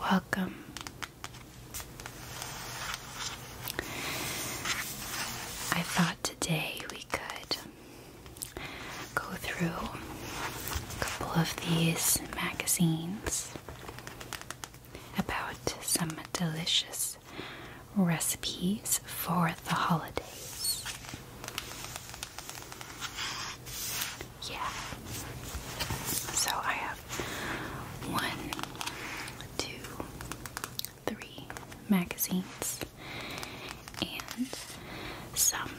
Welcome. I thought today we could go through a couple of these magazines about some delicious recipes for the holidays. Yeah. So I have one, two, three magazines and some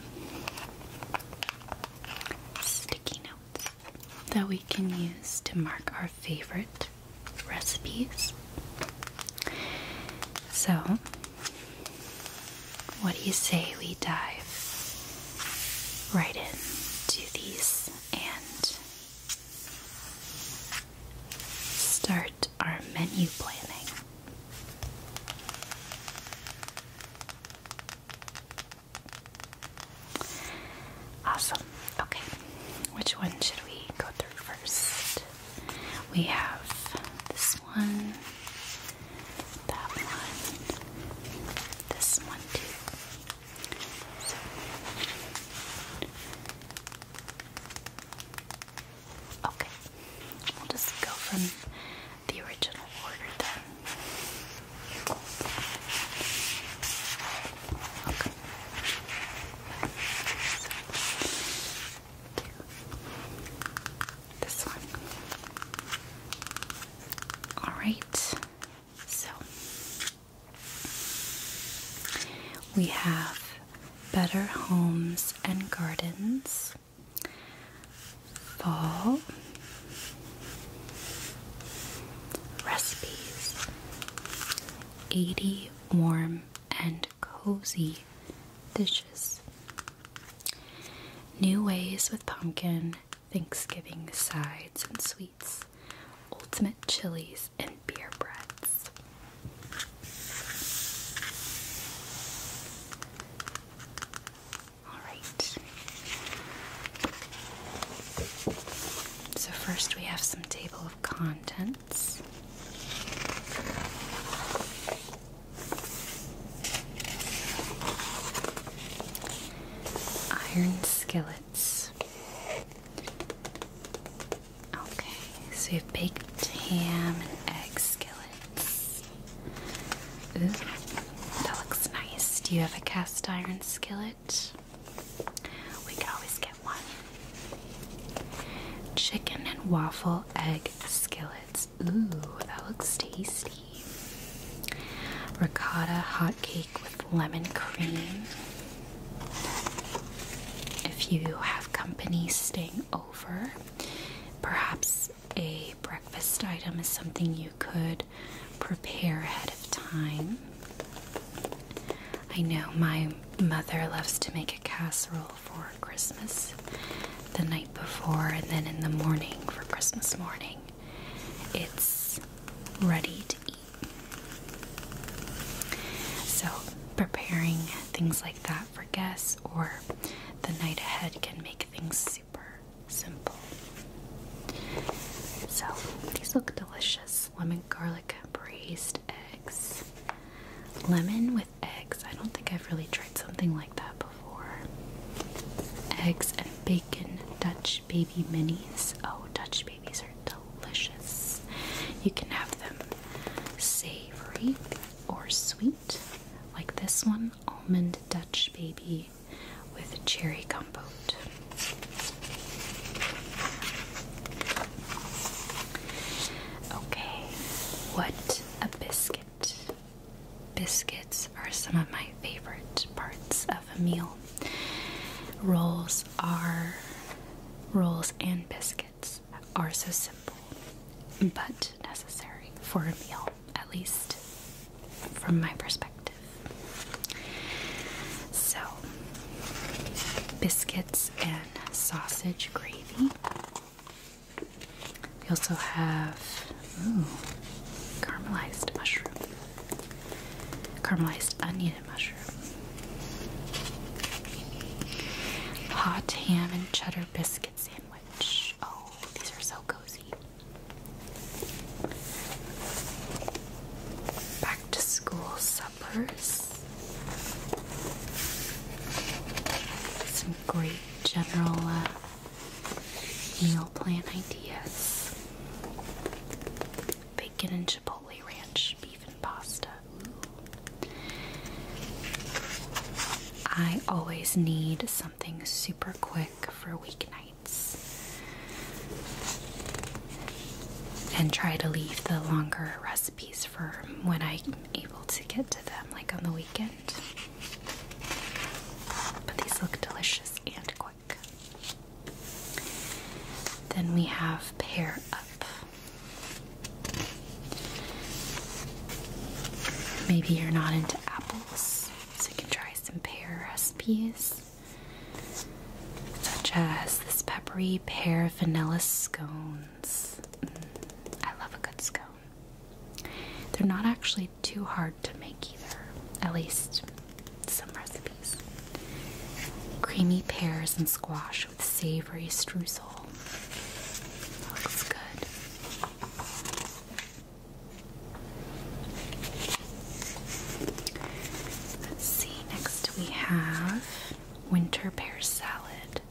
sticky notes that we can use to mark our favorite recipes. So what do you say we dive right into these and start our menu planning? Awesome. Okay, which one should we go through first? We have this one, that one, this one too. Okay, we'll just go from the original order then. Okay. This one. Alright, so we have Better Homes and Gardens, Fall, Recipes, 80 Warm and Cozy dishes. New ways with pumpkin, Thanksgiving sides and sweets, ultimate chilies, and beer breads. Alright. So, first we have some table of contents. Iron skillets. Okay, so you have baked ham and egg skillets. Ooh, that looks nice. Do you have a cast iron skillet? We could always get one. Chicken and waffle egg skillet. Ooh, that looks tasty. Ricotta hot cake with lemon cream. If you have company staying over, perhaps a breakfast item is something you could prepare ahead of time. I know my mother loves to make a casserole for Christmas the night before and then in the morning for Christmas morning. It's ready to eat. So, preparing things like that for guests or the night ahead can make things super simple. So, these look delicious lemon garlic braised eggs, lemon with eggs. I don't think I've really tried something like that before. Eggs and bacon Dutch baby minis. Oh, Dutch babies are delicious. You can have them savory or sweet, like this one almond Dutch baby with cherry compote. Okay, what a biscuit. Biscuits are some of my favorite parts of a meal. Rolls are rolls and biscuits are so simple but necessary for a meal, at least from my perspective. So, biscuits and sausage gravy. We also have ooh, caramelized mushroom, caramelized onion and mushroom, hot ham and cheddar biscuit sandwich. Oh, these are so cozy. Back to school suppers. Some gravy general uh, meal plan ideas. Bacon and chipotle ranch, beef and pasta. I always need something super quick for weeknights and try to leave the longer recipes for when I'm able to get to them, like on the weekend. But these look delicious and quick. Then we have Pair Up. Maybe you're not into apples, so you can try some pear recipes, such as this peppery pear vanilla scones. Mm, I love a good scone. They're not actually too hard to make either, at least some recipes. Creamy pears and squash with savory streusel. looks good. Let's see, next we have winter pear salad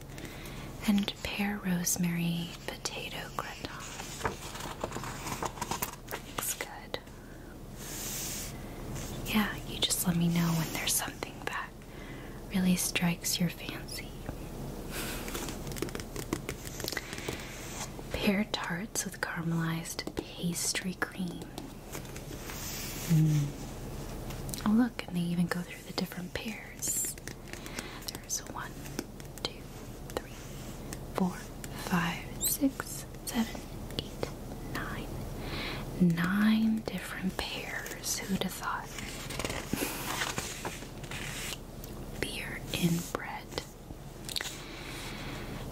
and pear rosemary potato gratin. Looks good. Yeah, you just let me know when there's something that really strikes your fancy. Pear tarts with caramelized pastry cream. Mm. Oh, look, and they even go through the different pears. There's one, two, three, four, five, six, seven, eight, nine. Nine different pairs. Who'd have thought? Beer in bread.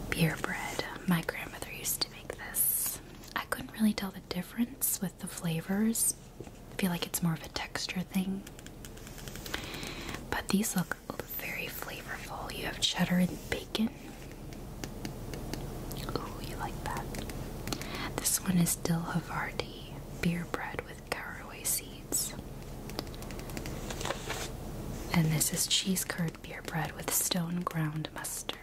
Beer bread. My grandmother used to make this. I couldn't really tell the difference with the flavors, I feel like it's more of a texture thing. But these look very flavorful. You have cheddar and bacon. Ooh, you like that. This one is Dil Havarti beer bread with caraway seeds. And this is cheese curd beer bread with stone ground mustard.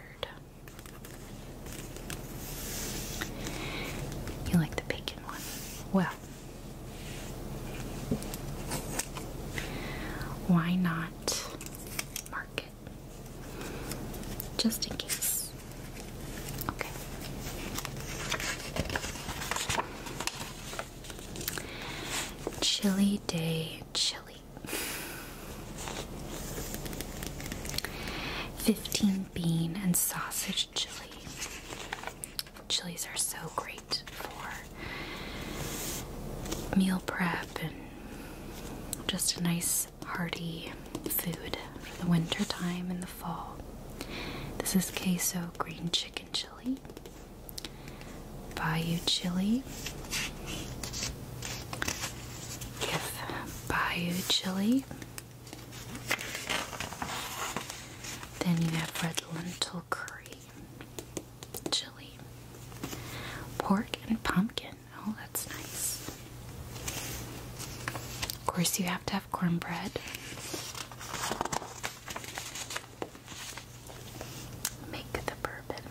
You like the bacon one? Well, why not mark it? Just in case. Okay. Chilly day, chili. 15 bean and sausage Chilies are so great for meal prep and just a nice hearty food for the winter time and the fall. This is queso green chicken chili, bayou chili. If bayou chili then you have red lentil curry, chili, pork, and pumpkin. Oh, that's nice. Of course, you have to have cornbread. Make the bourbon.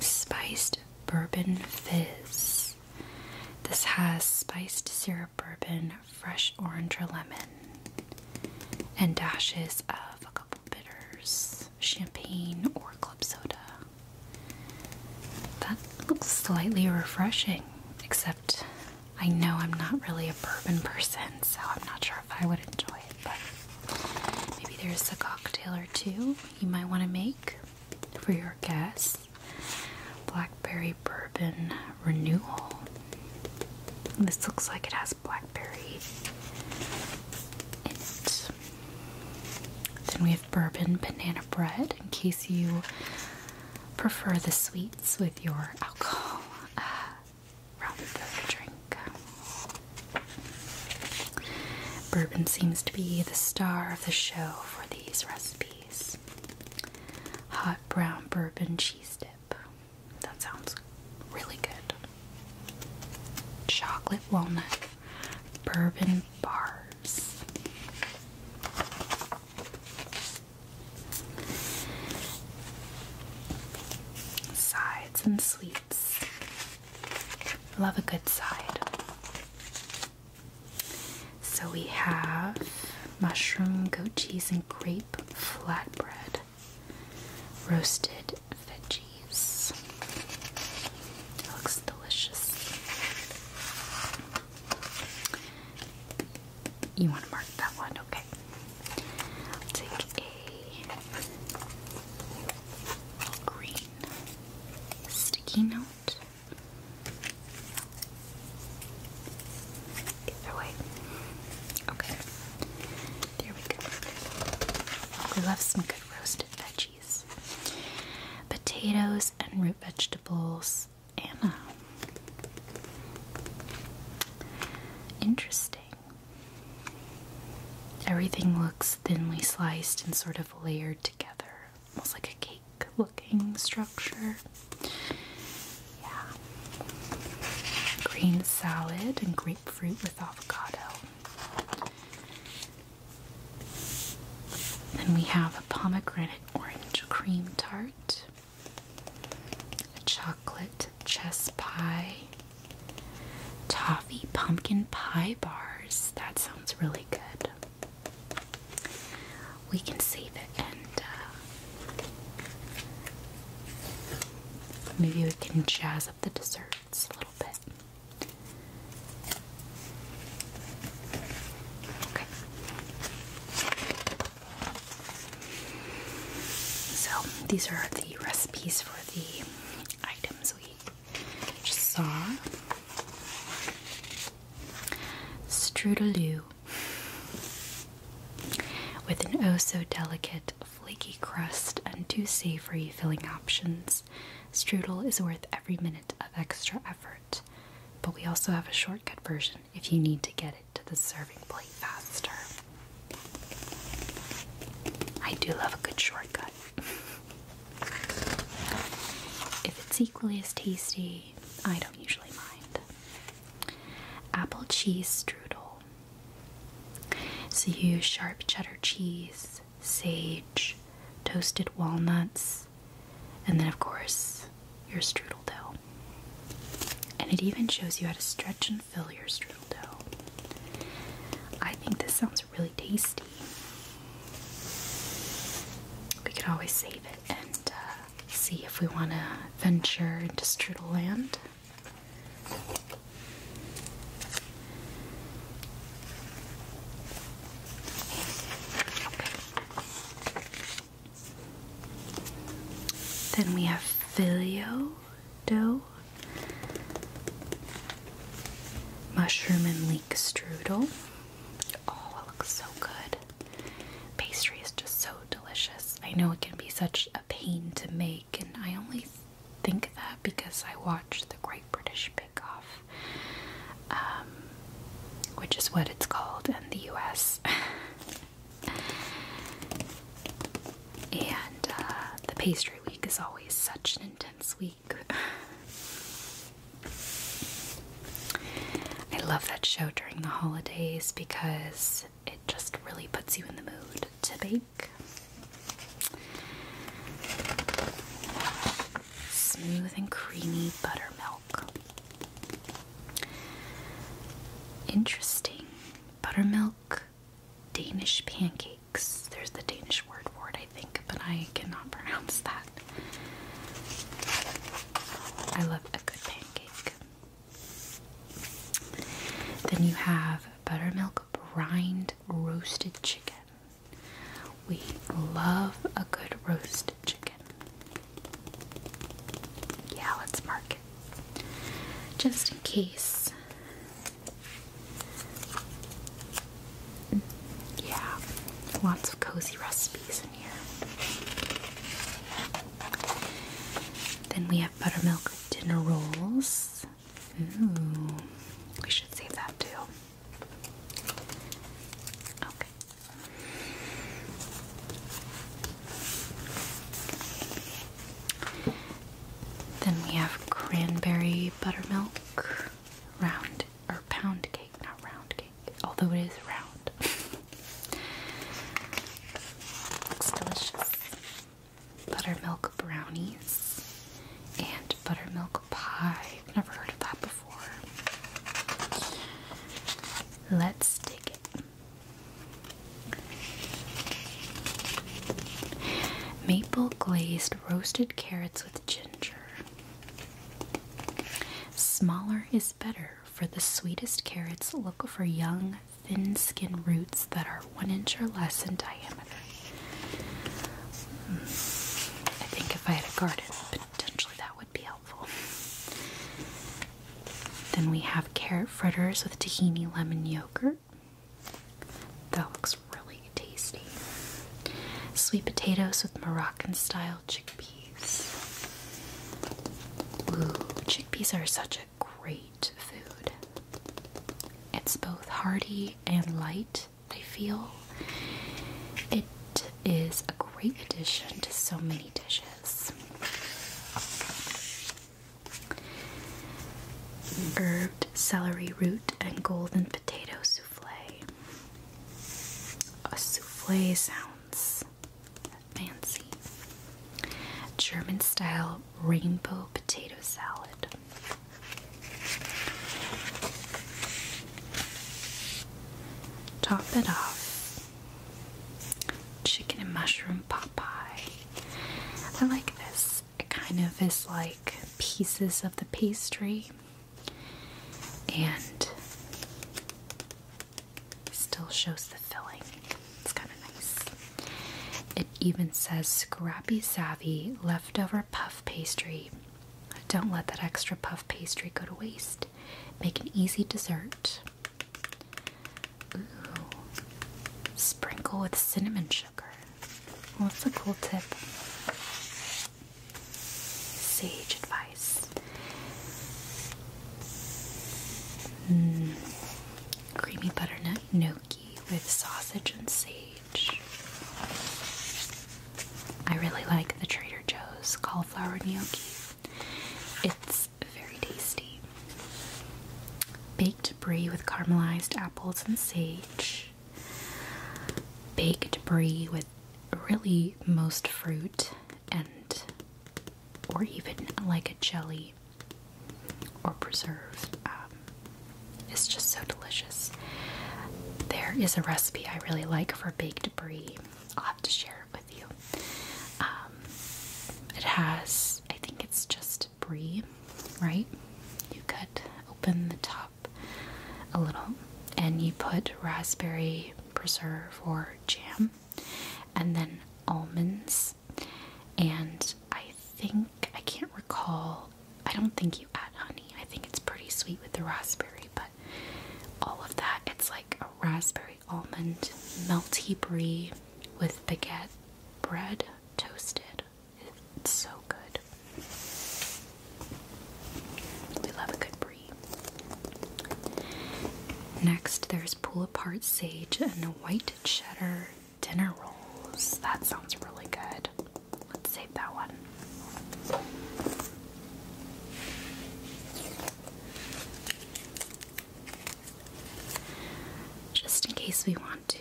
Spiced bourbon fizz. This has spiced syrup bourbon, fresh orange or lemon, and dashes of a couple bitters, champagne, or club soda. That looks slightly refreshing, except I know I'm not really a bourbon person, so I'm not sure if I would enjoy it, but maybe there's a cocktail or two you might want to make for your guests blackberry bourbon renewal. This looks like it has blackberry in it. Then we have bourbon banana bread in case you prefer the sweets with your alcohol rather than the drink. Bourbon seems to be the star of the show for these recipes. Hot brown bourbon cheese dip. That sounds really good. Chocolate walnut bourbon bars. Sides and sweets. Love a good side. So we have mushroom, goat cheese, and grape flatbread, roasted veggies. Looks delicious. You want to mark that one? Okay. I'll take a green sticky note. Either way. Okay. There we go. We left some good roasted veggies. Potatoes and root vegetables. Anna. Interesting. Everything looks thinly sliced and sort of layered together, almost like a cake looking structure. Yeah. Green salad and grapefruit with avocado. Then we have a pomegranate orange cream tart, a chocolate chess pie, toffee pumpkin pie bars. That sounds really good we can save it and uh, maybe we can jazz up the desserts a little bit. Okay. So these are the recipes for the items we just saw. Strudelou with an oh so delicate, flaky crust and two savory filling options, strudel is worth every minute of extra effort. But we also have a shortcut version if you need to get it to the serving plate faster. I do love a good shortcut. If it's equally as tasty, I don't usually mind. Apple cheese strudel. So you use sharp cheddar cheese, sage, toasted walnuts, and then, of course, your strudel dough. And it even shows you how to stretch and fill your strudel dough. I think this sounds really tasty. We can always save it and uh, see if we want to venture into Strudel Land. Then we have filio dough, mushroom and leek strudel. Oh, it looks so good. Pastry is just so delicious. I know it can be such a pain to make, and I only think that because I watch the Great British Bake Off, um, which is what it's called in the US. and uh, the pastry week is always such an intense week. I love that show during the holidays because it just really puts you in the mood to bake. Smooth and creamy buttermilk. Interesting. Buttermilk Danish pancakes. There's the Danish word for it, I think, but I cannot pronounce that. I love a good pancake. Then you have buttermilk brined roasted chicken. We love a good roasted chicken. Yeah, let's mark it. Just in case. Yeah, lots of cozy recipes in here. Then we have buttermilk dinner rolls. Ooh, we should save that too. Okay. Then we have cranberry buttermilk round or pound cake, not round cake, although it is round. delicious. Buttermilk brownies and buttermilk pie. never heard of that before. Let's dig it. Maple glazed roasted carrots with ginger. Smaller is better. For the sweetest carrots, look for young thin skin roots that are one inch or less in diameter. Mm. I think if I had a garden, potentially that would be helpful. Then we have carrot fritters with tahini lemon yogurt. That looks really tasty. Sweet potatoes with Moroccan style chickpeas. Ooh, chickpeas are such a great food. It's both hearty and light, I feel. It is a great addition to so many dishes. Herb celery root and golden potato souffle. A souffle sounds fancy. German style rainbow potato salad. Top it off. Chicken and mushroom Popeye. I like this. It kind of is like pieces of the pastry and Still shows the filling. It's kind of nice. It even says scrappy savvy leftover puff pastry. Don't let that extra puff pastry go to waste. Make an easy dessert. Ooh. Sprinkle with cinnamon sugar. What's that's a cool tip. Sage advice. Mm creamy butternut gnocchi with sausage and sage. I really like the Trader Joe's cauliflower gnocchi. It's very tasty. Baked brie with caramelized apples and sage. Baked brie with really most fruit and or even like a jelly or preserve. Um, it's just so delicious. There is a recipe I really like for baked brie. I'll have to share it with you. Um, it has, I think it's just brie, right? You cut open the top a little and you put raspberry preserve or jam and then almonds and I think, I can't recall, I don't think you add honey. I think it's pretty sweet with the raspberry, but all of that, it's like a raspberry almond melty brie with baguette bread toasted. It's so good. We love a good brie. Next, there's pull apart sage and white cheddar dinner rolls. That sounds really good. Let's save that one. Just in case we want to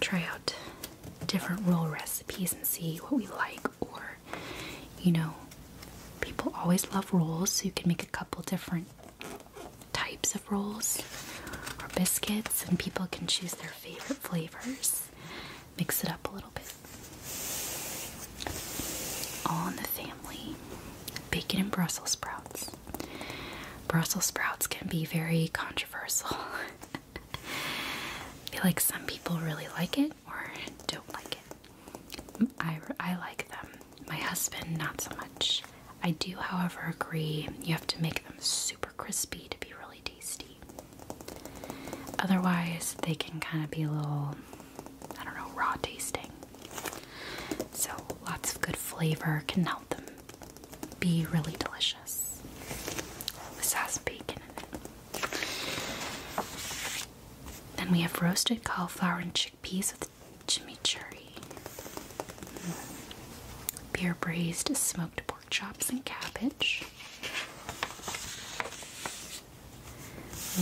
try out different roll recipes and see what we like, or you know, people always love rolls, so you can make a couple different types of rolls or biscuits, and people can choose their favorite flavors. Mix it up a little bit. All in the family bacon and Brussels sprouts. Brussels sprouts can be very controversial. I feel like some people really like it or don't like it. I, I like them. My husband, not so much. I do, however, agree you have to make them super crispy to be really tasty. Otherwise, they can kind of be a little, I don't know, raw tasting. So, lots of good flavor can help them be really delicious. This has bacon Then we have roasted cauliflower and chickpeas with chimichurri, beer braised smoked pork chops and cabbage,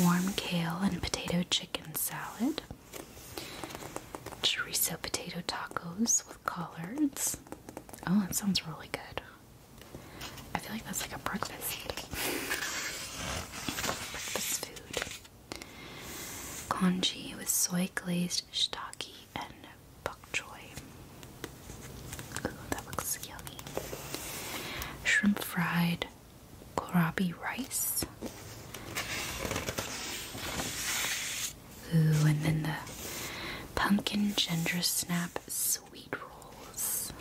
warm kale and potato chicken salad, chorizo potato tacos with collards. Oh, that sounds really good. I feel like that's like a breakfast. breakfast food. Congee with soy glazed is and bok choy. Ooh, that looks yummy. Shrimp fried kohlrabi rice. Ooh, and then the pumpkin ginger snap sweet rolls.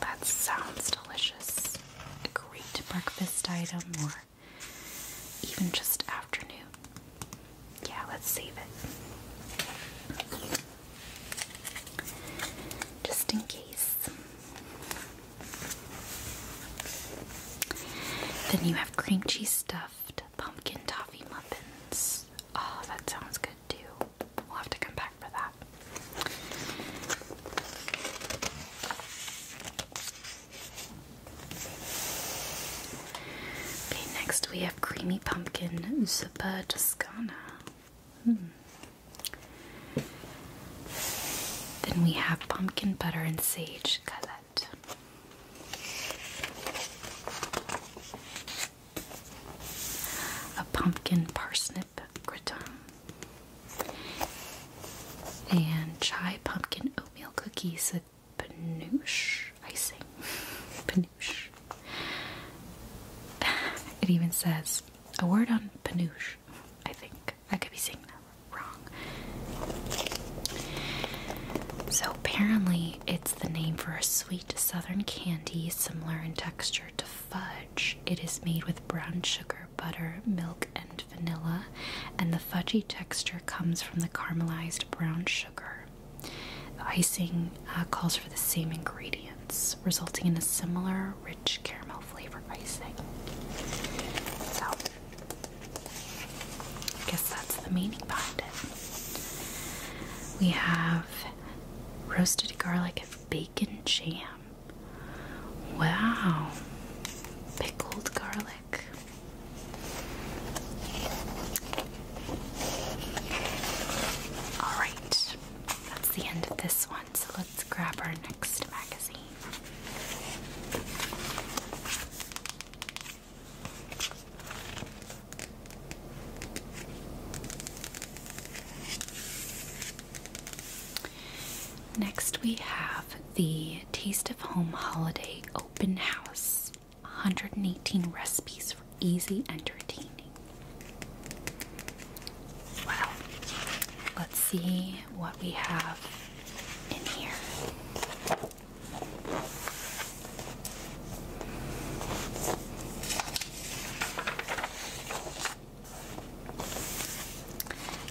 That sounds delicious. A great breakfast item even just afternoon. Yeah, let's save it. Just in case. Then you have cream cheese stuffed pumpkin toffee muffins. Oh, that sounds good too. We'll have to come back for that next we have creamy pumpkin zuppa toscana. Hmm. Then we have pumpkin butter and sage galette. A pumpkin parsnip gratin. And chai pumpkin oatmeal cookies Panoosh icing. Panoosh. It even says a word on panoosh, I think. I could be seeing that wrong. So apparently, it's the name for a sweet southern candy similar in texture to fudge. It is made with brown sugar, butter, milk, and vanilla, and the fudgy texture comes from the caramelized brown sugar. The icing uh, calls for the same ingredients, resulting in a similar rich caramel flavor icing. So, I guess that's the meaning behind it. We have roasted garlic and bacon jam. Wow. Pickled garlic Alright, that's the end of this one, so let's grab our next magazine. Next, we have the Taste of Home Holiday Open House plus 118 recipes for easy entertaining. Well, let's see what we have in here.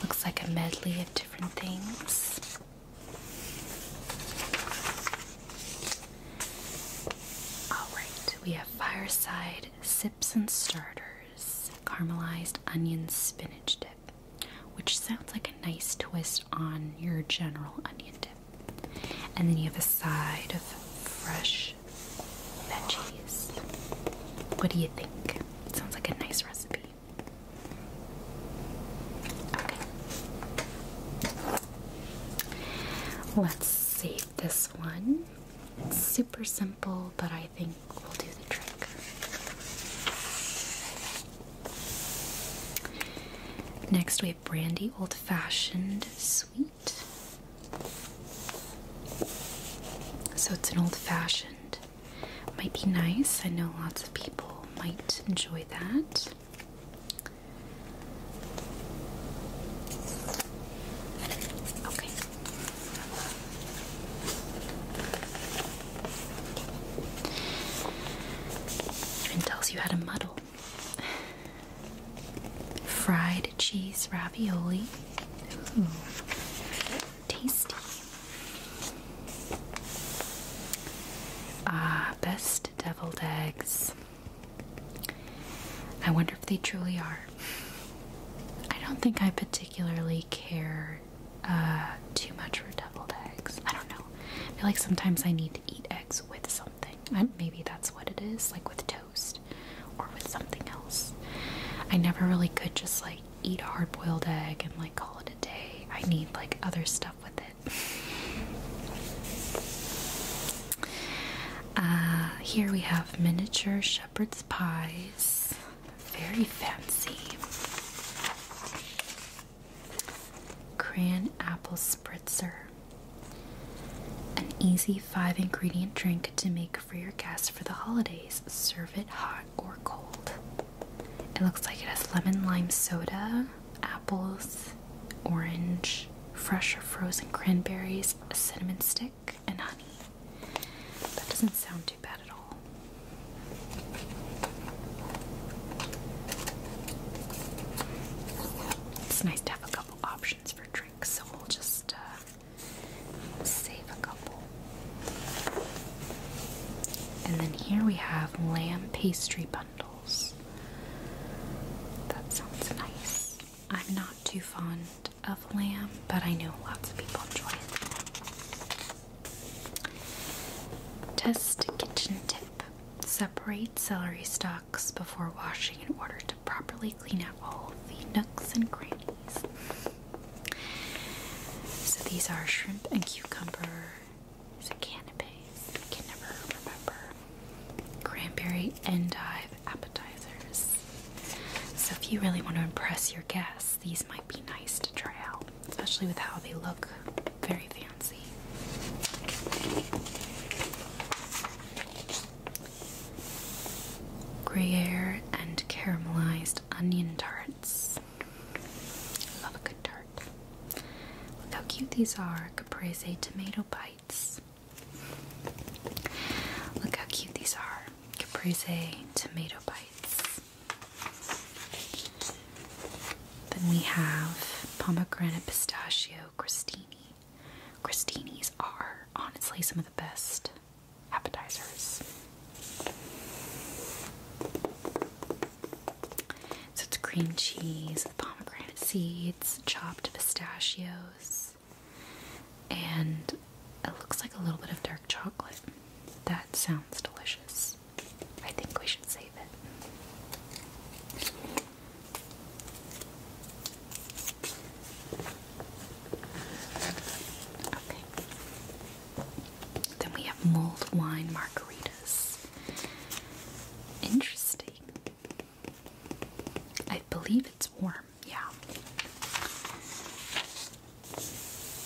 Looks like a medley of different things. Alright, we have fireside sips and starters, caramelized onion spinach dip, which sounds like a nice twist on your general onion dip. And then you have a side of fresh veggies. What do you think? Sounds like a nice recipe. Let's save this one. It's super simple, but I think will do the trick. Next, we have Brandy Old Fashioned Sweet. So it's an old fashioned. Might be nice. I know lots of people might enjoy that. Okay. Even tells you how to muddle. Fried cheese ravioli. tasty. Ah, best deviled eggs. I wonder if they truly are. I don't think I particularly care uh, too much for deviled eggs. I don't know. I feel like sometimes I need to eat eggs with something. maybe that's what it is, like with toast or with something else. I never really could just like eat a hard boiled egg and like call it a day. I need like other stuff with it. Uh, here we have miniature shepherd's pies. Very fancy. Crayon apple spritzer. An easy five ingredient drink to make for your guests for the holidays. Serve it hot or cold. It looks like it has lemon lime soda, apples, orange, fresh or frozen cranberries, cinnamon stick, and honey. That doesn't sound too bad at all. It's nice to have a couple options for drinks, so we'll just uh, save a couple. And then here we have lamb pastry bundle. That sounds nice. I'm not too fond of lamb, but I know lots of people enjoy it. Test kitchen tip. Separate celery stalks before washing in order to properly clean out all the nooks and crannies. So these are shrimp and cucumber is I can never remember. Cranberry endive appetizers. So if you really want to impress your guests, these might be nice to try out, especially with how they look very fancy. Gruyere and caramelized onion tarts. Love a good tart. Look how cute these are caprese tomato bites. Look how cute these are caprese tomato bites. Then we have pomegranate pistachio crostini. Crostinis are honestly some of the best appetizers. So it's cream cheese, pomegranate seeds, chopped pistachios, and it looks like a little bit of dark chocolate. That sounds delicious. I think we should save it. Okay. Then we have mulled wine margarita. Interesting. I believe it's warm, yeah.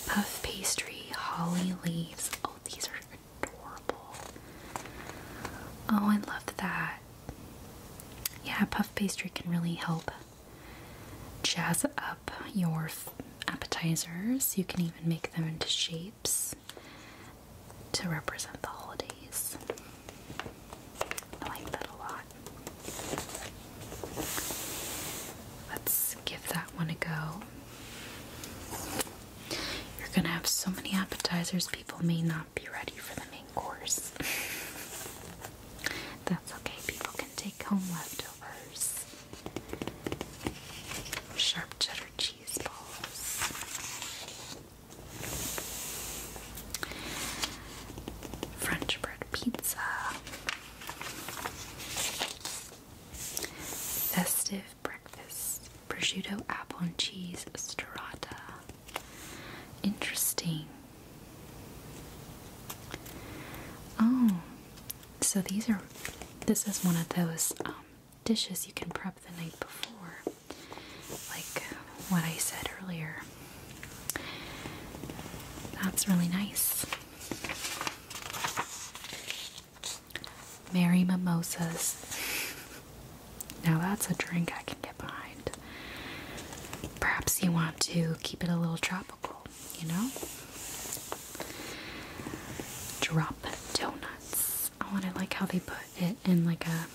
Puff pastry, holly leaves. Oh, these are adorable. Oh, I love that. Yeah, puff pastry can really help jazz up your appetizers. You can even make them into shapes to represent the holidays. I like that a lot. Let's give that one a go. You're gonna have so many appetizers, people may not be ready for the main course. That's okay, people can take home leftovers. Sharp cheddar cheese. French bread pizza. Festive breakfast. Prosciutto apple and cheese strata. Interesting. Oh, so these are, this is one of those um, dishes you can prep the night before. Like uh, what I said earlier. That's really nice. Merry Mimosas. Now that's a drink I can get behind. Perhaps you want to keep it a little tropical, you know? Drop donuts. Oh, I want to like how they put it in like a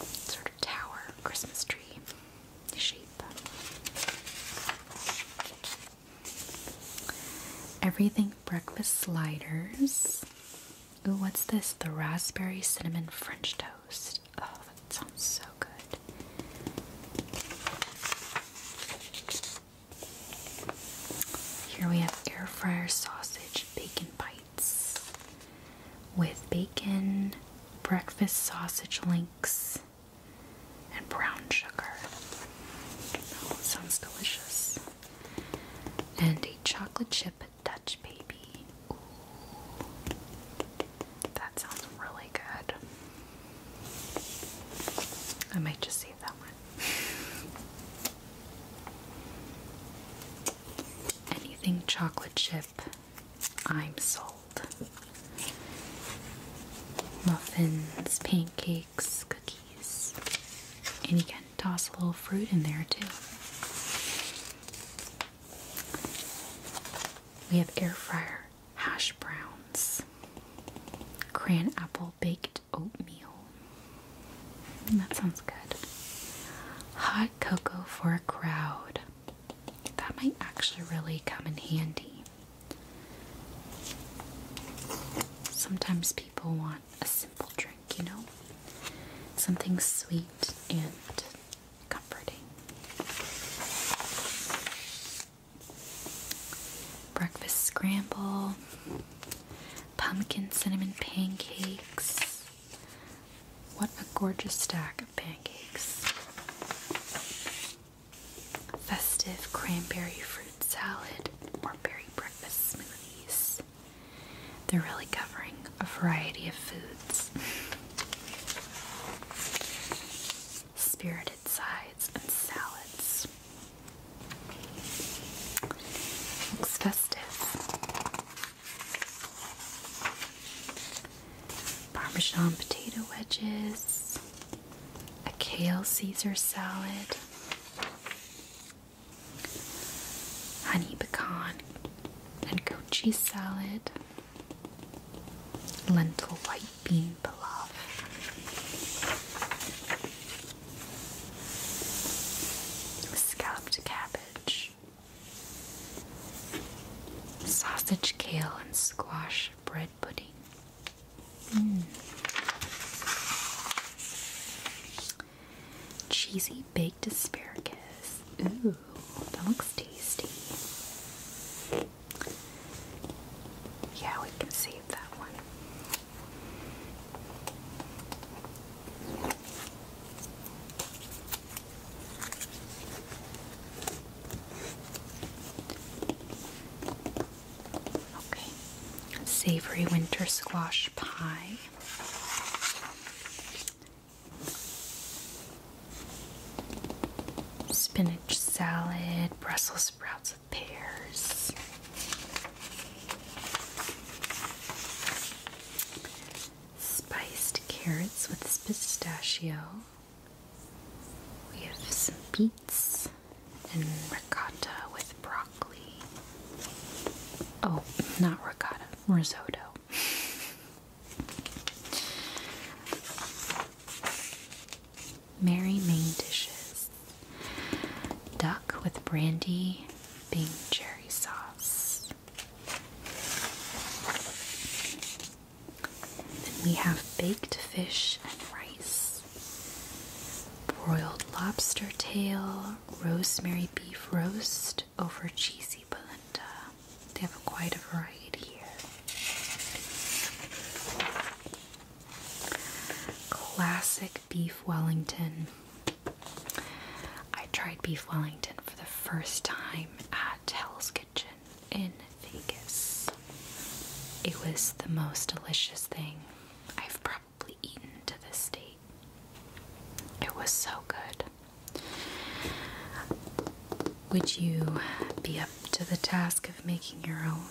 sort of tower Christmas tree shape. Everything breakfast sliders. Ooh, what's this? The raspberry cinnamon French toast. Oh, that sounds so good. Here we have air fryer sausage bacon bites with bacon, breakfast sausage links, and brown sugar. Oh, sounds delicious. And a chocolate chip Dutch baby. That sounds really good. I might just save that one. Anything chocolate chip, I'm sold. Muffins, pancakes, cookies. And you can toss a little fruit in there too. We have air fryer hash browns, cran apple baked oatmeal, Mm, that sounds good. Hot cocoa for a crowd. That might actually really come in handy. Sometimes people want a simple drink, you know? Something sweet and comforting. Breakfast scramble, pumpkin cinnamon pancakes, what a gorgeous stack of pancakes. festive cranberry fruit salad or berry breakfast smoothies. They're really covering a variety of foods. Spirited sides and salads. Looks festive. Parmesan potato wedges, a kale Caesar salad, honey pecan and goat cheese salad, lentil white bean pilaf. Scalloped cabbage, Sausage, kale, and squash bread pudding. Mm. Cheesy baked asparagus. Ooh, that looks tasty. Yeah, we can save that one. Okay, savory winter squash pie. Spinach salad, Brussels sprouts with pears, spiced carrots with pistachio. We have some beets and ricotta with broccoli. Oh, not ricotta, risotto. Mary main dishes. Duck with brandy, Bing cherry sauce we have baked fish and rice, broiled lobster tail, rosemary beef roast over cheesy polenta. They have quite a variety here. Classic beef Wellington. I tried beef Wellington for the first time at Hell's Kitchen in Vegas. It was the most delicious thing I've probably eaten to this date. It was so good. Would you be up to the task of making your own?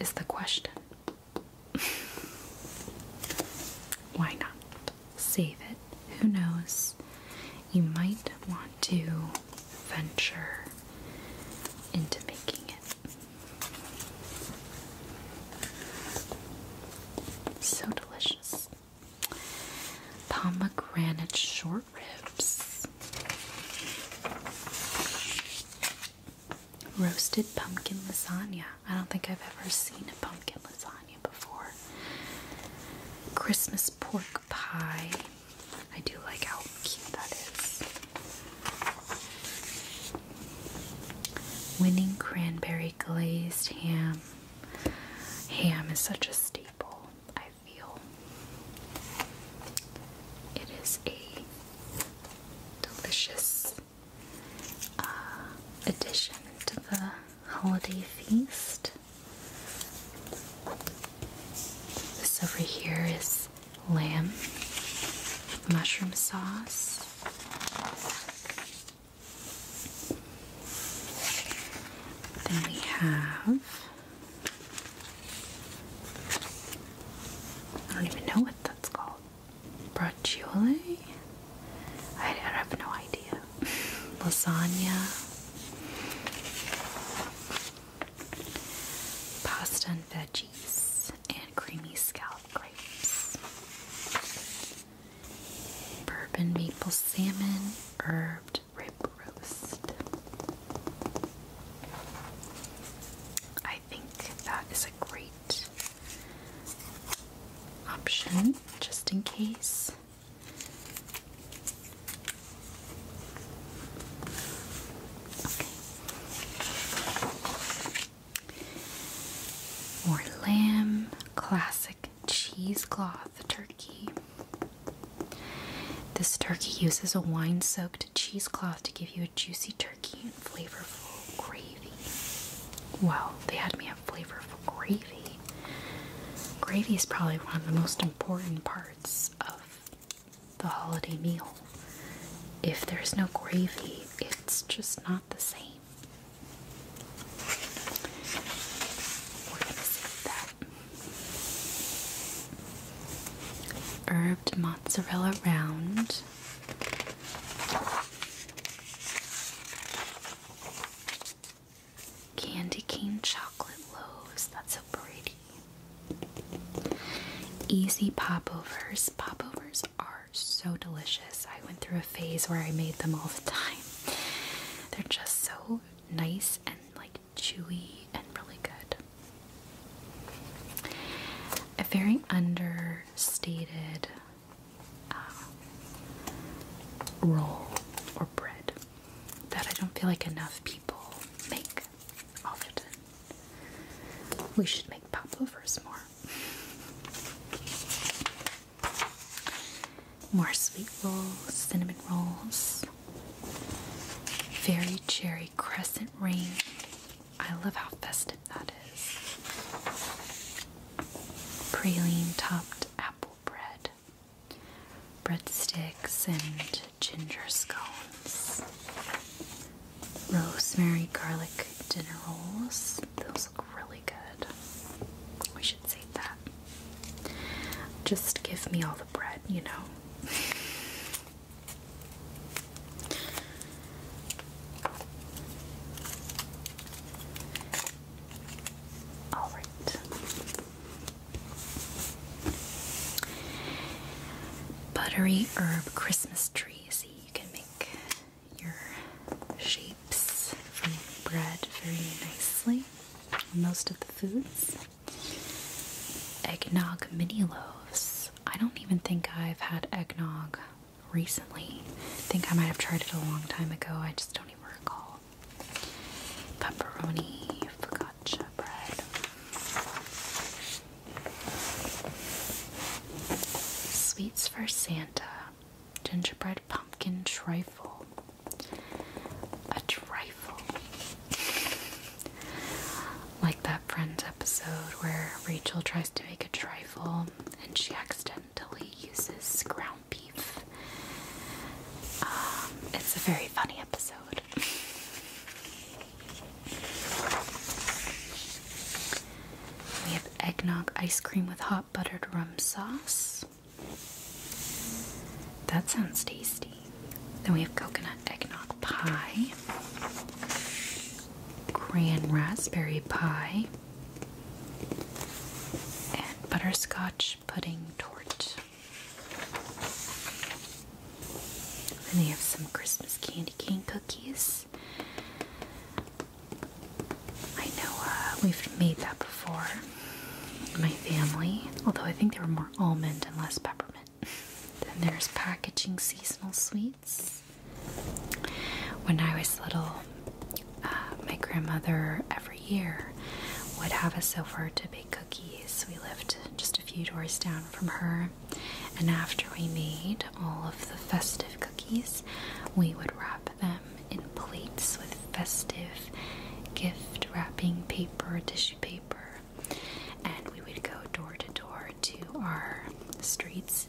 Is the question. Why not? save it. Who knows? You might want to venture into making it. So delicious. Pomegranate short ribs. Roasted pumpkin lasagna. I don't think I've ever seen a pumpkin lasagna before. Christmas pork pie. I do like how cute that is. Winning cranberry glazed ham. Ham is such a staple, I feel. It is a delicious uh, addition to the holiday feast. This over here is lamb, mushroom sauce. Then we have. I don't even know what that's called. Braciole? I, have no idea. Lasagna. Pasta and veggies and creamy scallop grapes. Bourbon maple salmon herbed rib roast. I think that is a great option just in case. More lamb, classic cheesecloth turkey. This turkey uses a wine soaked cheesecloth to give you a juicy turkey and flavorful gravy. Wow, they had me flavorful gravy. Gravy is probably one of the most important parts of the holiday meal. If there's no gravy, it's just not the same. We're gonna save that. Herbed mozzarella round. Candy cane chocolate loaves. That's so pretty. Easy popovers. Popovers are so delicious. I went through a phase where I made them all the time. They're just so nice and like chewy and really good. A very understated uh, roll or bread that I don't feel like enough people make often. We should make popovers more. More sweet rolls, cinnamon rolls, fairy cherry crescent ring. I love how festive that is. Praline topped apple bread breadsticks and ginger scones, rosemary garlic dinner rolls. Those look really good. We should save that. Just give me all the bread, you know. All right. Buttery herb Christmas tree. See, you can make your shapes from bread very nicely. Most of the foods. Eggnog mini loaves. I don't even think I've had eggnog recently. I think I might have tried it a long time ago. I just don't even recall pepperoni focaccia bread. Sweets for Santa, gingerbread pumpkin trifle. A trifle. Like that Friends episode where Rachel tries to make a trifle and she accidentally uses ground beef. Um, it's a very funny episode. we have eggnog ice cream with hot buttered rum sauce. That sounds tasty. Then we have coconut eggnog pie, grand raspberry pie, and butterscotch pudding torte. Then we have some Christmas candy cane cookies. I know uh, we've made that before in my family, although I think they were more almond and less peppermint. Then there's packaging seasonal sweets. When I was little, uh, my grandmother, every year would have us over to bake cookies. We lived just a few doors down from her, and after we made all of the festive cookies, we would wrap them in plates with festive gift wrapping paper, tissue paper, and we would go door to door to our streets,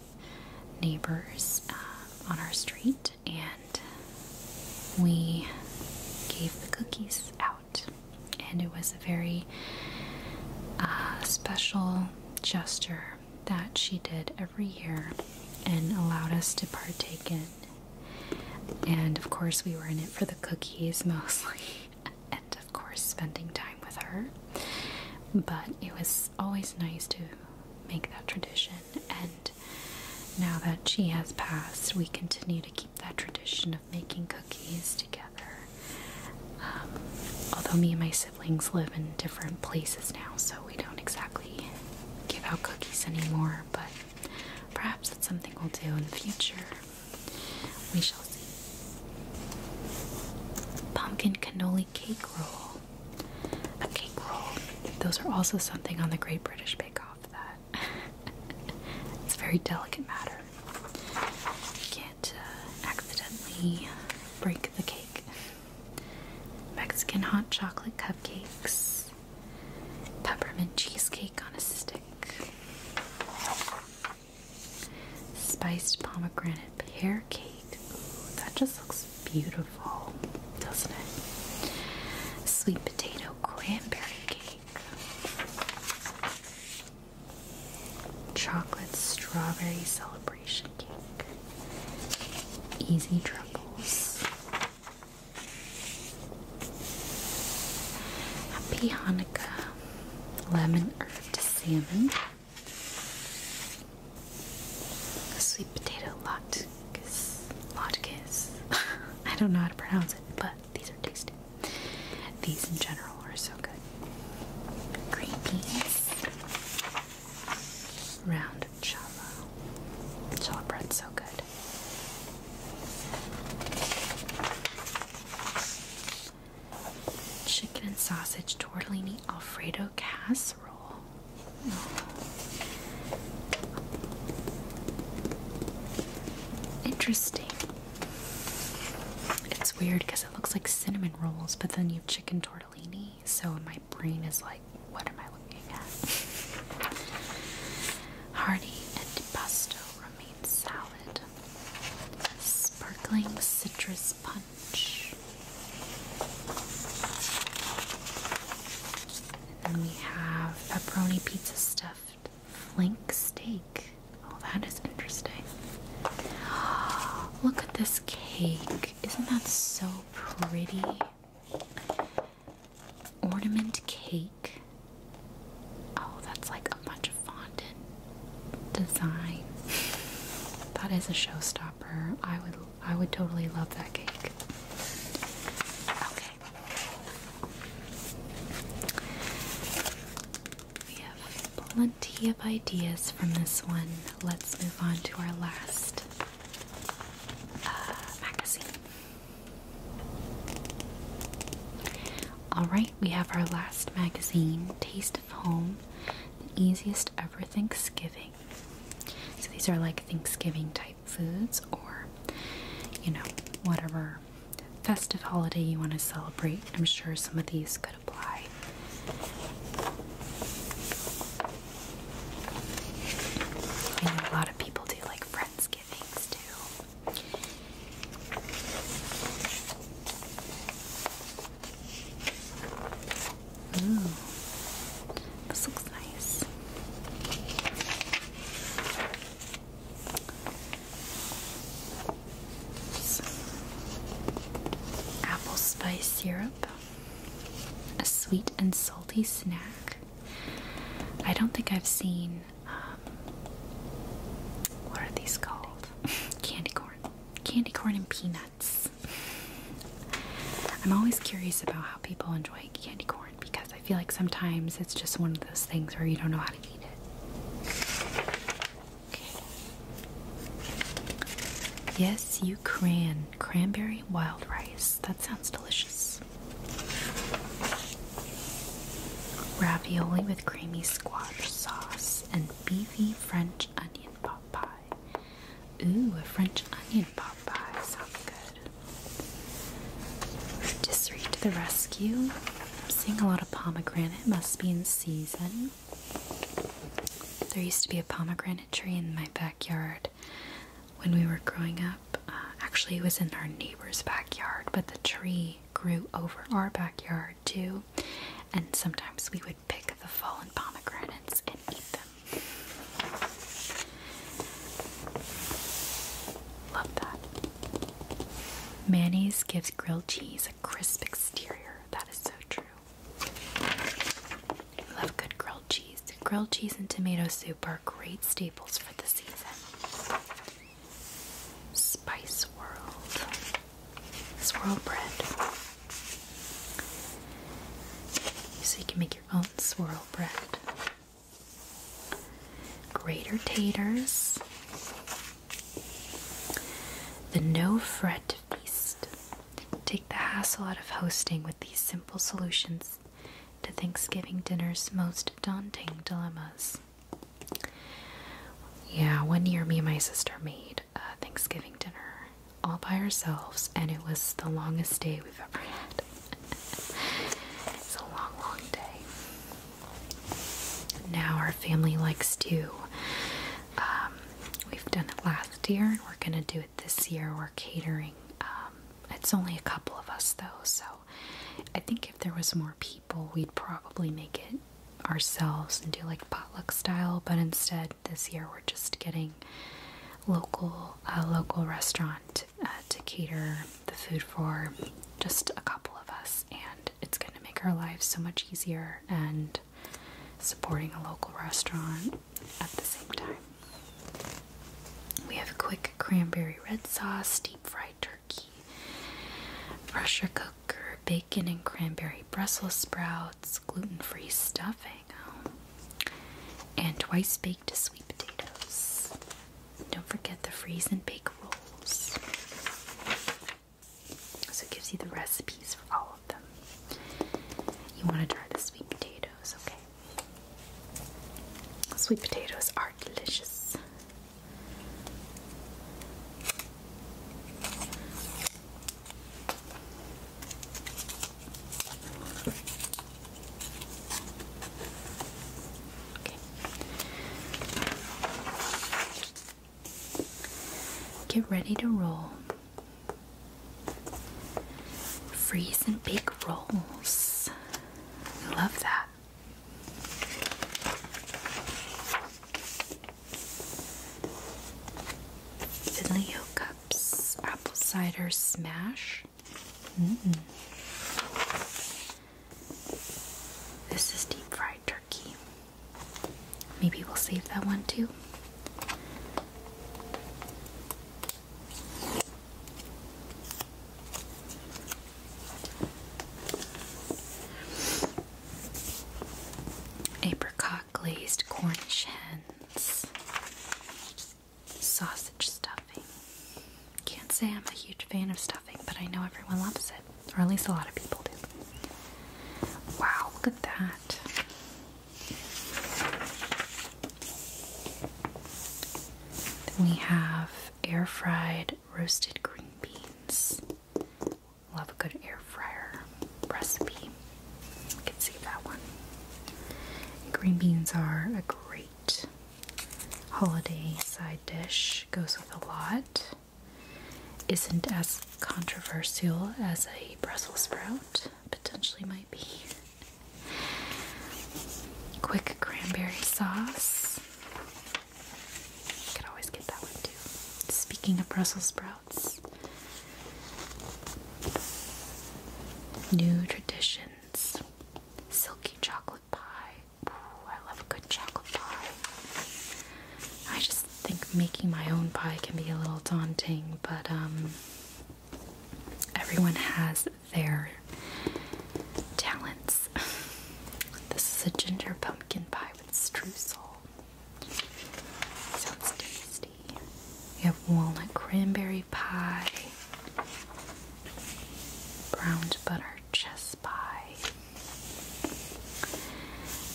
neighbors um, on our street, and we gave the cookies out. And it was a very uh, special gesture that she did every year and allowed us to partake in. And of course, we were in it for the cookies mostly, and of course, spending time with her. But it was always nice to make that tradition, and now that she has passed, we continue to keep that tradition of making cookies together. Um, although me and my siblings live in different places now, so we don't exactly give out cookies anymore, but perhaps that's something we'll do in the future. We shall see. Pumpkin cannoli cake roll. A cake roll. Those are also something on the Great British Bake Off that it's a very delicate matter. You can't uh, accidentally break the cake. Mexican hot chocolate cupcakes, peppermint cheesecake on a stick, spiced pomegranate pear cake. that just looks beautiful, doesn't it? Sweet potato cranberry cake. Chocolate strawberry celebration cake. Easy triples. Happy Hanukkah. Lemon herb salmon. A sweet potato lot. Lotkiss. I don't know how to pronounce it, but these are tasty. These in general are so good. Green beans. Round of challah. Challah bread's so good. Chicken and sausage tortellini alfredo casserole. Interesting. It's weird because it looks like cinnamon rolls, but then you have chicken tortellini, so my brain is like, what am I looking at? Hardy and pesto romaine salad, sparkling citrus punch. And then we have pepperoni pizza stuff left. Flank steak. Oh, that is interesting. Look at this cake. Isn't that so pretty? Ornament cake. Oh, that's like a bunch of fondant design. That is a showstopper. I would I would totally love that cake. Okay. We have plenty of ideas from this one. Let's move on to our last uh, magazine. Alright, we have our last magazine, Taste of Home, the easiest ever Thanksgiving. So these are like Thanksgiving type foods or, you know, whatever festive holiday you want to celebrate. I'm sure some of these could apply. I know a lot of people do like Friendsgivings too. this looks nice apple spice syrup, a sweet and salty snack. I don't think I've seen. Um, what are these called? candy corn. Candy corn and peanuts. I'm always curious about how people enjoy candy corn because I feel like sometimes it's just one of those things where you don't know how to eat it. Yes, you can. Cranberry wild rice. That sounds delicious. Ravioli with creamy squash sauce and beefy French onion pot pie. Ooh, a French onion pot pie sounds good. Just the rescue. I'm seeing a lot of pomegranate. Must be in season. There used to be a pomegranate tree in my backyard when we were growing up. Uh, actually, it was in our neighbor's backyard, but the tree grew over our backyard too. And sometimes we would pick the fallen pomegranates and eat them. Love that. Mayonnaise gives grilled cheese a crisp exterior. That is so true. I love good grilled cheese. Grilled cheese and tomato soup are great staples for the season. Spice World. Swirl bread. So you can make your own swirl bread. Greater taters. The no fret feast. Take the hassle out of hosting with these simple solutions to Thanksgiving dinner's most daunting dilemmas. Yeah, one year me and my sister made a Thanksgiving dinner all by ourselves, and it was the longest day we've ever had. it's a long, long day. Now, our family likes to, um, we've done it last year and we're going to do it this year. We're catering. Um, it's only a couple of us though, so I think if there was more people, we'd probably make it ourselves and do like potluck style, but instead this year we're just getting local a local restaurant uh, to cater the food for just a couple of us and it's going to make our lives so much easier and supporting a local restaurant at the same time. We have a quick cranberry red sauce, deep fried turkey, pressure cooker, bacon and cranberry Brussels sprouts, gluten free stuffing, and twice baked sweet potatoes don't forget the freeze and bake rolls. So it gives you the recipes for all of them. You want to try the sweet potatoes, okay? Sweet potatoes are delicious. Get ready to roll. Freeze and big rolls. I love that. Fidelio cups, apple cider smash. Mm-hmm. This is deep fried turkey. Maybe we'll save that one too. Apricot glazed Cornish hens, sausage stuffing. Can't say I'm a huge fan of stuffing, but I know everyone loves it, or at least a lot of people do. Wow, look at that. we have air fried roasted green beans. Love a good air fryer recipe. can see that one. Green beans are a great holiday side dish, goes with a lot isn't as controversial as a Brussels sprout potentially might be. Quick cranberry sauce. could always get that one too. Speaking of Brussels sprouts, new traditions. Silky chocolate pie. I love a good chocolate pie. I just think making my own pie can be a little daunting, but um, everyone has their talents. This is a ginger pumpkin pie with streusel. Sounds tasty. We have walnut cranberry pie, browned butter just by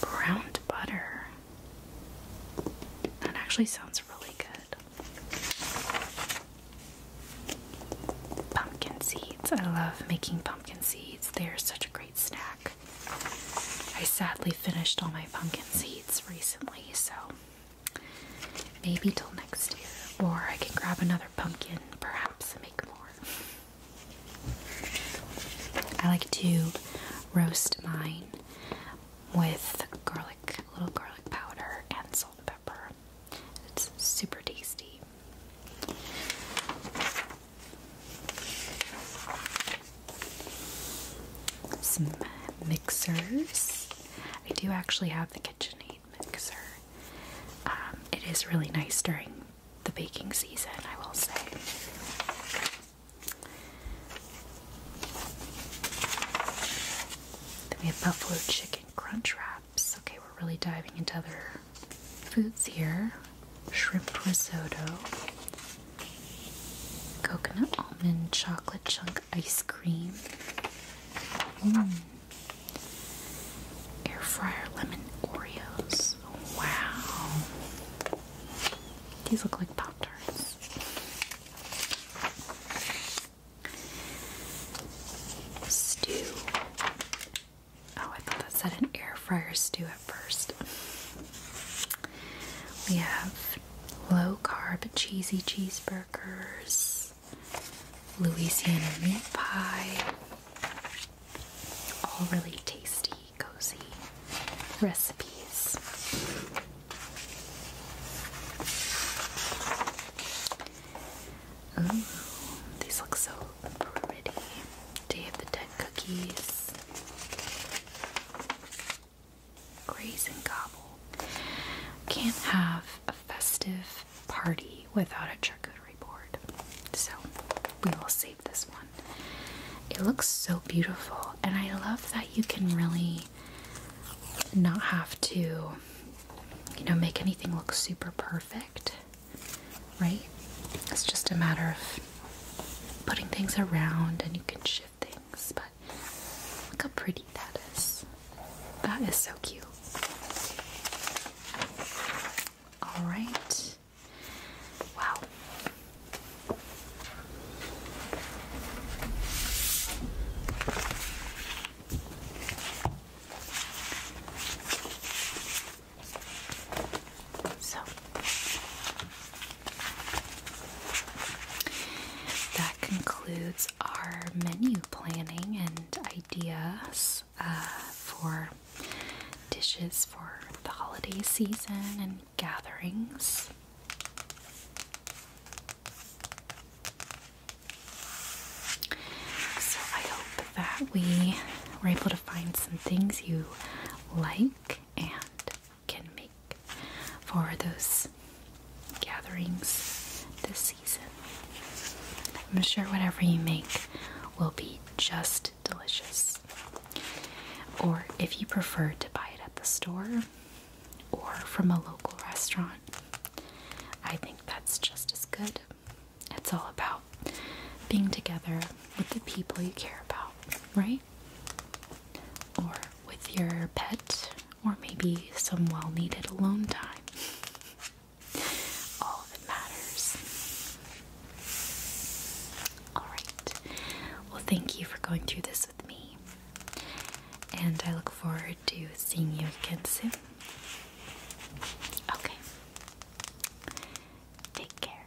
browned butter. That actually sounds really good. Pumpkin seeds. I love making pumpkin seeds. They are such a great snack. I sadly finished all my pumpkin seeds recently, so maybe till next year. Or I can grab another pumpkin, perhaps, and make more. I like to roast mine with garlic, little garlic powder, and salt and pepper. It's super tasty. Some mixers. I do actually have the KitchenAid mixer. Um, it is really nice during the baking season, I will say. Then we have buffalo chicken crunch wraps. Okay, we're really diving into other foods here. Shrimp risotto, coconut almond chocolate chunk ice cream, mm. air fryer lemon Oreos. Wow. These look like Pop Tarts. Stew. Oh, I thought that said an air fryer stew at first. We have low carb cheesy cheeseburgers, Louisiana meat pie, all really tasty, cozy recipes. Ooh, these look so pretty. Day of the Dead cookies. Graze and gobble. Can't have a festive party without a charcuterie so we will save this one. It looks so beautiful, and I love that you can really not have to, you know, make anything look super perfect, right? It's just a matter of putting things around and you can shift things, but look how pretty that is. That is so cute. Alright, Wow. So that concludes our menu planning and ideas uh, for dishes for the holiday season and gatherings. So, I hope that we were able to find some things you like and can make for those gatherings this season. I'm sure whatever you make will be just delicious. Or if you prefer to buy it at the store or from a local restaurant, I think that's just as good. It's all about being together with the people you care about, right? Or with your pet, or maybe some well needed alone time. All matters. Alright, well, thank you for going through this with me, and I look forward to seeing you again soon. Okay, take care.